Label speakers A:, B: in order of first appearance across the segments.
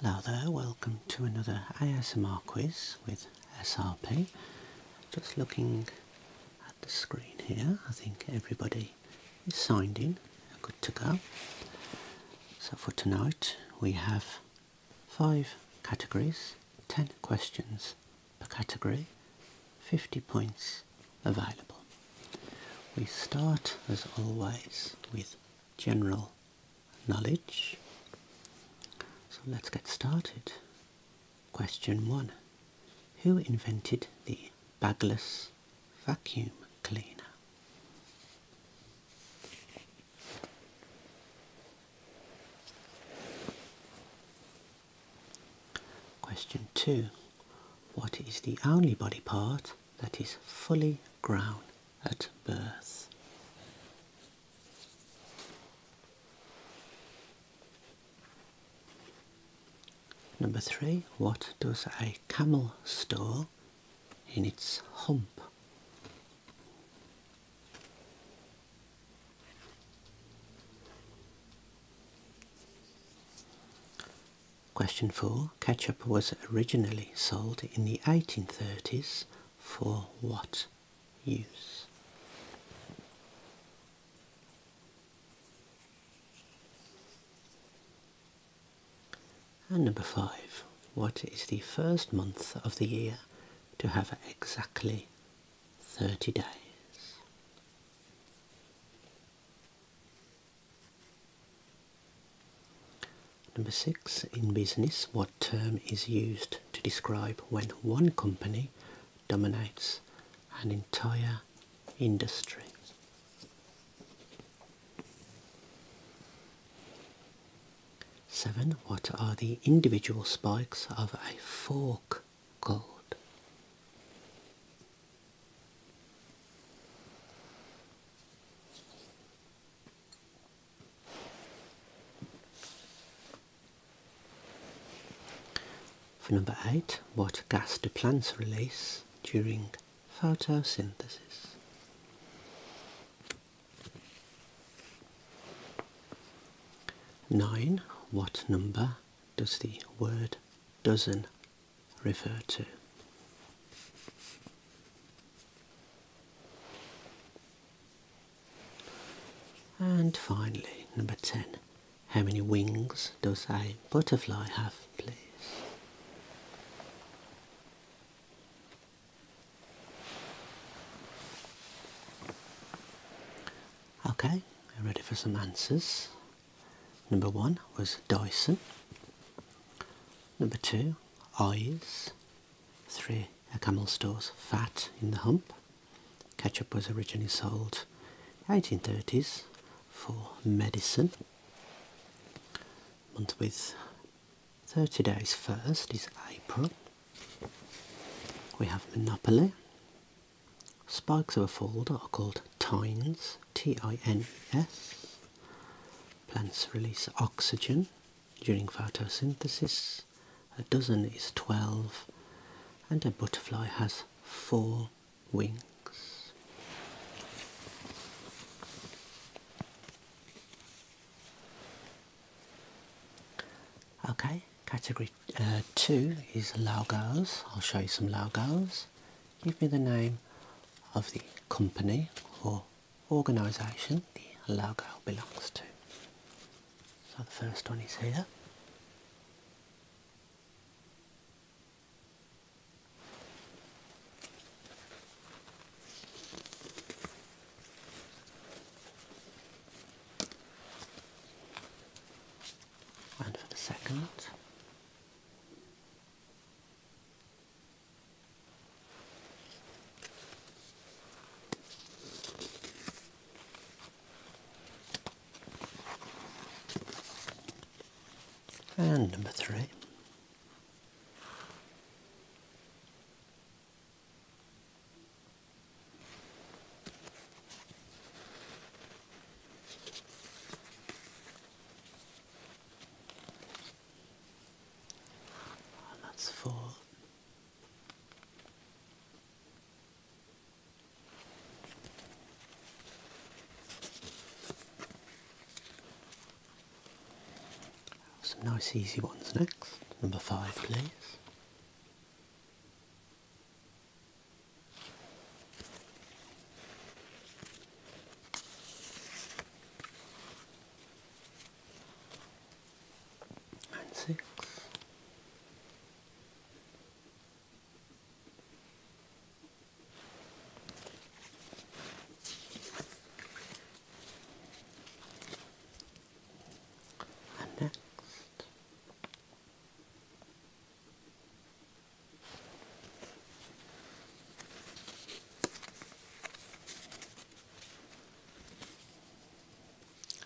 A: Hello there, welcome to another ASMR quiz with SRP. Just looking at the screen here, I think everybody is signed in, good to go. So for tonight we have five categories, 10 questions per category, 50 points available. We start as always with general knowledge. So let's get started. Question 1. Who invented the bagless vacuum cleaner? Question 2. What is the only body part that is fully grown at birth. Number three, what does a camel store in its hump? Question 4. Ketchup was originally sold in the 1830s for what use? And number 5. What is the first month of the year to have exactly 30 days? Number six, in business, what term is used to describe when one company dominates an entire industry? Seven, what are the individual spikes of a fork called? For number eight, what gas do plants release during photosynthesis? Nine, what number does the word dozen refer to. And finally, number 10. How many wings does a butterfly have, please? Okay, ready for some answers. Number one was Dyson. Number two, eyes. Three, a camel stores fat in the hump. Ketchup was originally sold 1830s for medicine. Month with 30 days first is April. We have Monopoly. Spikes of a fold are called tines, T-I-N-E-S. Plants release oxygen during photosynthesis. A dozen is 12 and a butterfly has four wings. Okay, category uh, 2 is logos. I'll show you some logos give me the name of the company or organisation the logo belongs to. So the first one is here. And for the second, and number three that's full. Some nice easy ones next. Number five, please and six. And next,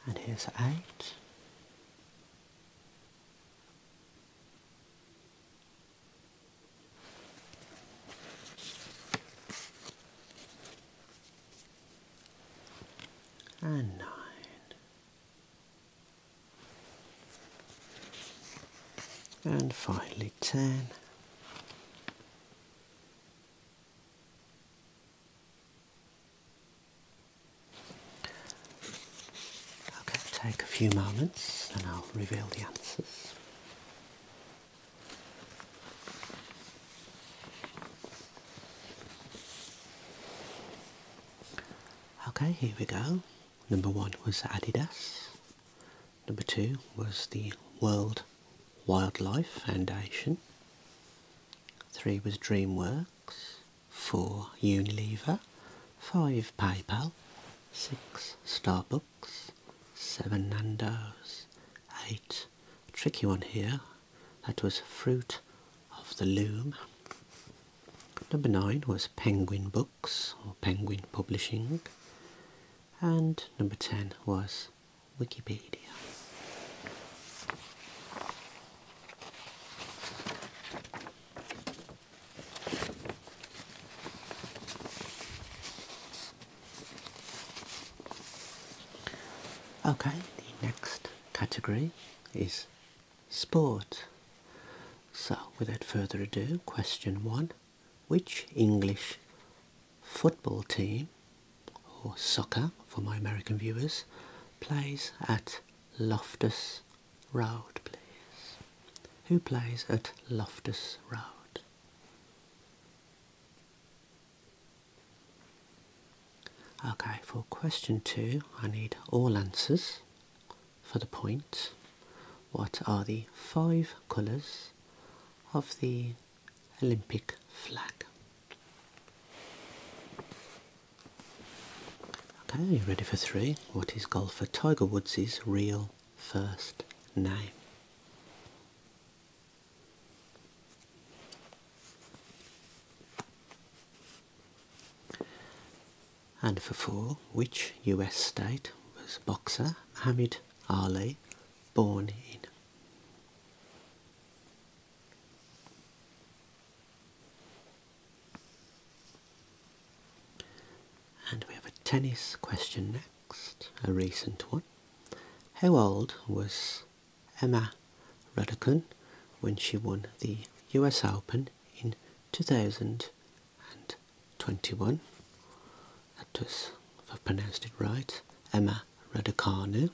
A: and here's eight. And nine and finally 10 Okay, take a few moments and I'll reveal the answers. Okay, here we go. Number one was Adidas. Number two was the World Wildlife Foundation. Three was DreamWorks. Four, Unilever. Five, PayPal. Six, Starbucks. Seven, Nando's. Eight, tricky one here. That was Fruit of the Loom. Number nine was Penguin Books or Penguin Publishing, and number 10 was Wikipedia. Okay, the next category is sport. So, without further ado, question one Which English football team, or soccer for my American viewers, plays at Loftus Road, please? Who plays at Loftus Road? Okay, for question two, I need all answers for the point what are the five colours of the Olympic flag. Okay, ready for three? What is golfer Tiger Woods' real first name? And for four, which US state was boxer Muhammad Ali born in? And we have a tennis question next, a recent one. How old was Emma Raducan when she won the US Open in 2021. That was, if I've pronounced it right, Emma Raducanu.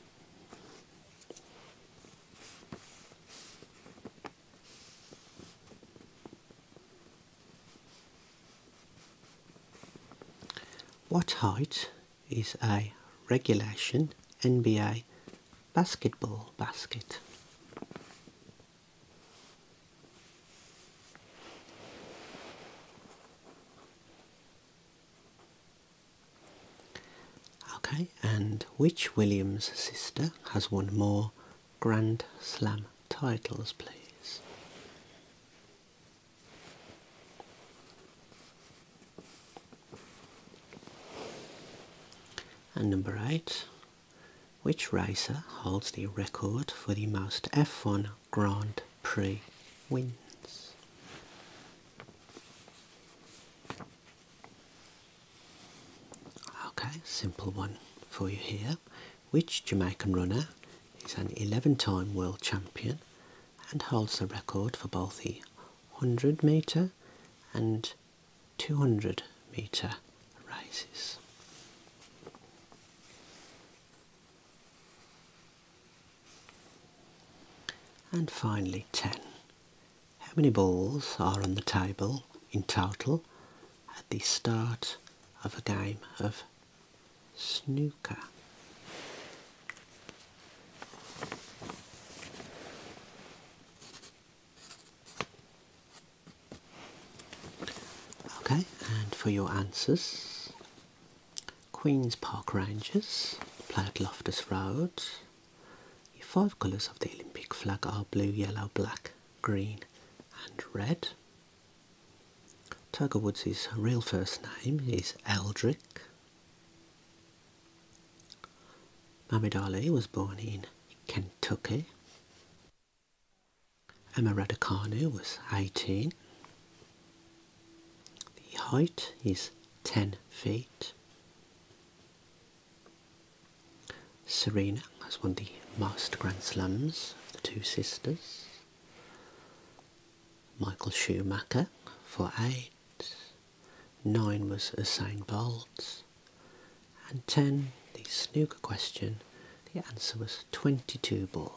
A: What height is a regulation NBA basketball basket. Okay, and which Williams sister has won more Grand Slam titles, please? And number eight, which racer holds the record for the most F1 Grand Prix wins? Okay, simple one for you here. Which Jamaican runner is an 11-time world champion and holds the record for both the 100 metre and 200 metre races. And finally 10. How many balls are on the table in total at the start of a game of snooker? Okay, and for your answers, Queen's Park Rangers play Loftus Road. Your five colours of the Olympic flag are blue, yellow, black, green and red. Tiger Woods' real first name is Eldrick. Muhammad Ali was born in Kentucky. Emma Raducanu was 18. The height is 10 feet. Serena has won the Master Grand Slams, of the two sisters. Michael Schumacher for a 9 was assigned balls, and 10, the snooker question, the answer was 22 balls.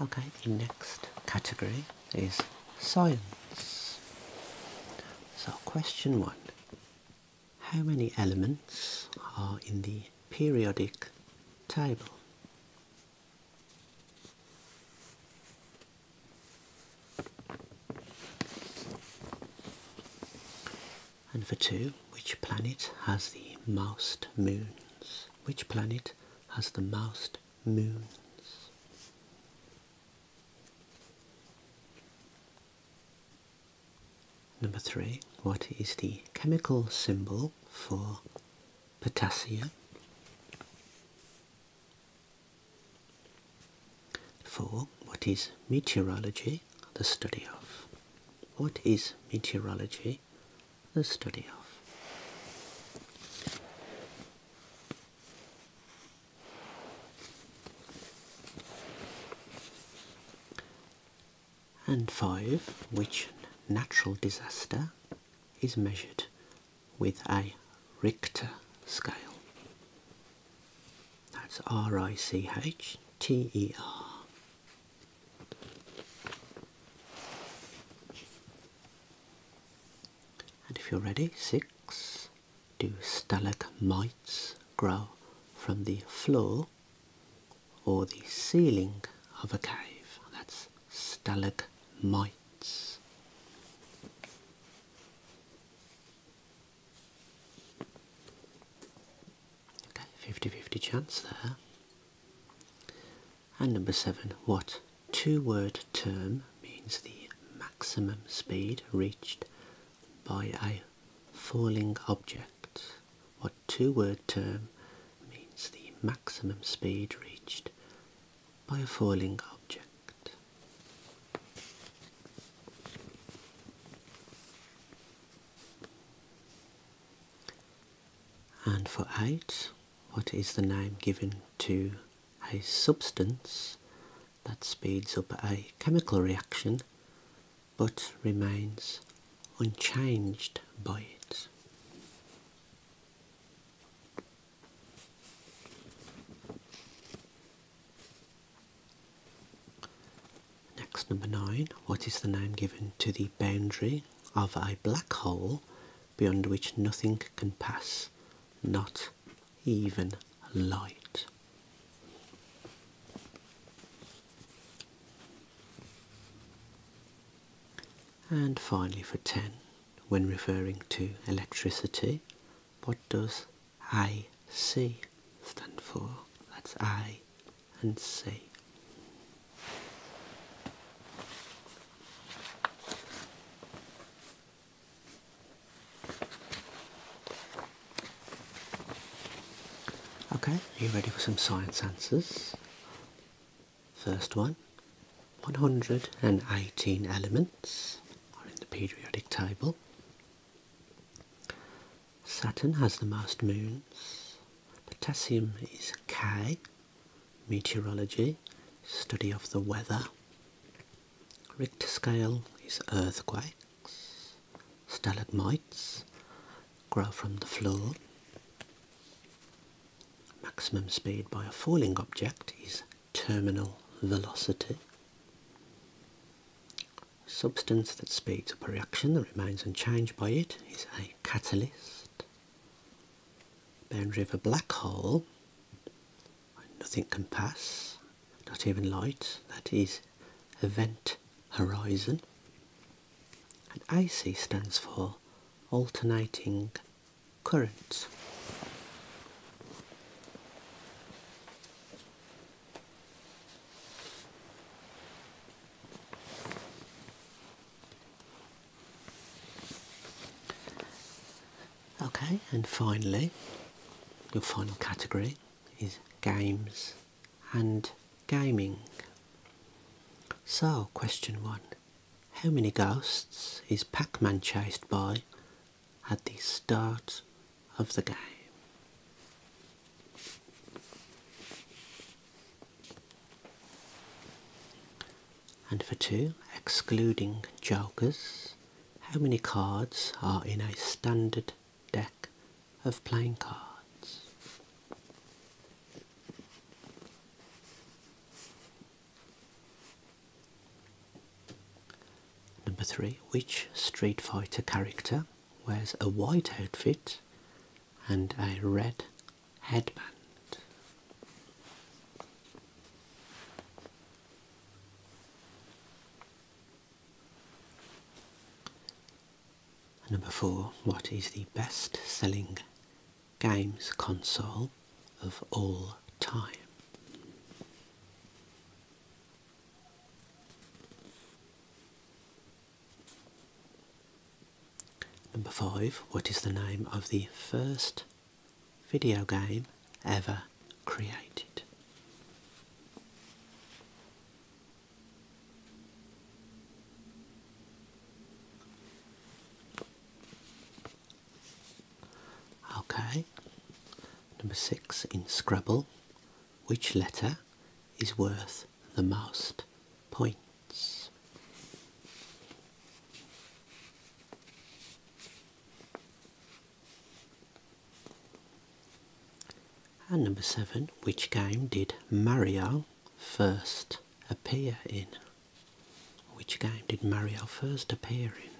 A: Okay, the next category is science. So, question one How many elements are in the periodic table? And for two, which planet has the most moons? Which planet has the most moons. Number three, what is the chemical symbol for potassium? For what is meteorology the study of? What is meteorology the study of. And five, which natural disaster is measured with a Richter scale. That's R I C H T E R. And if you're ready, six. Do stalagmites grow from the floor or the ceiling of a cave? That's stalagmites. Okay, 50 50 chance there. And number seven, what two-word term means the maximum speed reached by a falling object? What two-word term means the maximum speed reached by a falling object? And for eight, what is the name given to a substance that speeds up a chemical reaction but remains unchanged by it? Next, number nine. What is the name given to the boundary of a black hole beyond which nothing can pass, not even light. And finally, for 10, when referring to electricity, what does I C stand for? That's I and see. Okay, are you ready for some science answers? First one 118 elements are in the periodic table. Saturn has the most moons Potassium is K, meteorology, study of the weather. Richter scale is earthquakes. Stalagmites grow from the floor. Maximum speed by a falling object is terminal velocity. Substance that speeds up a reaction that remains unchanged by it is a catalyst boundary of a black hole nothing can pass, not even light, that is event horizon. And AC stands for alternating current. Okay, and finally, your final category is games and gaming. So, question one How many ghosts is Pac Man chased by at the start of the game? And for two, excluding jokers, how many cards are in a standard deck of playing cards? Number three, which Street Fighter character wears a white outfit and a red headband. Number four, what is the best selling games console of all time? Number five, what is the name of the first video game ever created? Okay, number six in Scrabble, which letter is worth the most points. And number seven, which game did Mario first appear in? Which game did Mario first appear in?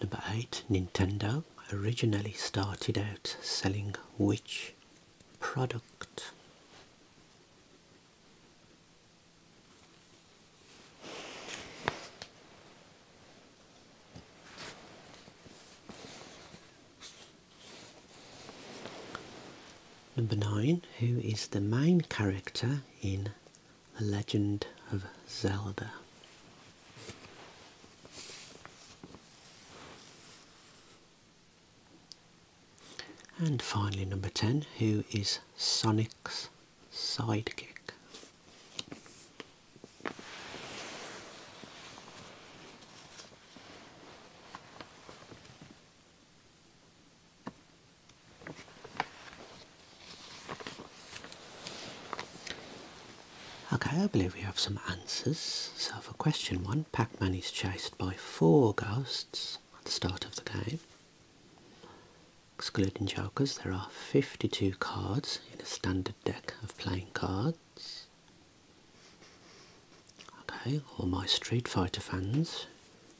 A: Number 8 Nintendo originally started out selling which product? Number 9 Who is the main character in the Legend of Zelda. And finally, number 10, who is Sonic's sidekick? Okay, I believe we have some answers. So for question one, Pac-Man is chased by four ghosts at the start of the game. Excluding jokers, there are 52 cards in a standard deck of playing cards. Okay, all my Street Fighter fans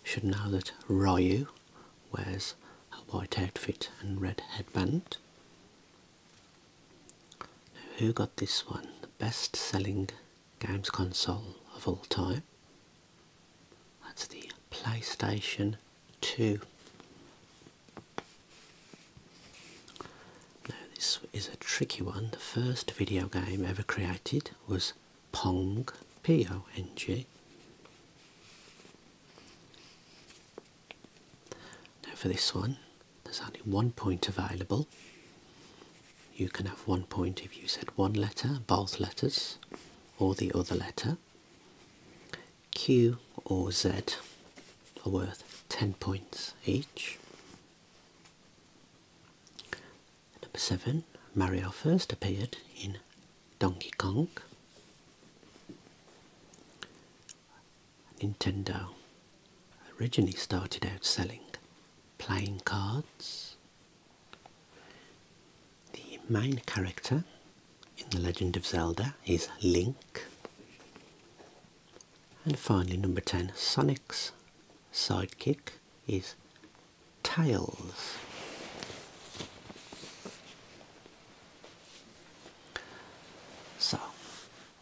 A: should know that Ryu wears a white outfit and red headband. who got this one? The best selling games console of all time. That's the PlayStation 2. Now, this is a tricky one. The first video game ever created was Pong, P O N G. Now, for this one, there's only one point available. You can have one point if you said one letter, both letters, or the other letter. Q or Z are worth 10 points each. Number seven, Mario first appeared in Donkey Kong. Nintendo originally started out selling playing cards. The main character in The Legend of Zelda is Link. And finally, number 10, Sonic's sidekick is tails. So,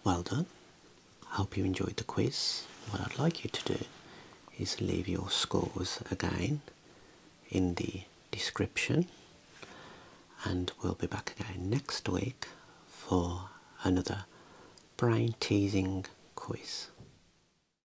A: well done. I Hope you enjoyed the quiz. What I'd like you to do is leave your scores again in the description and we'll be back again next week for another brain teasing quiz.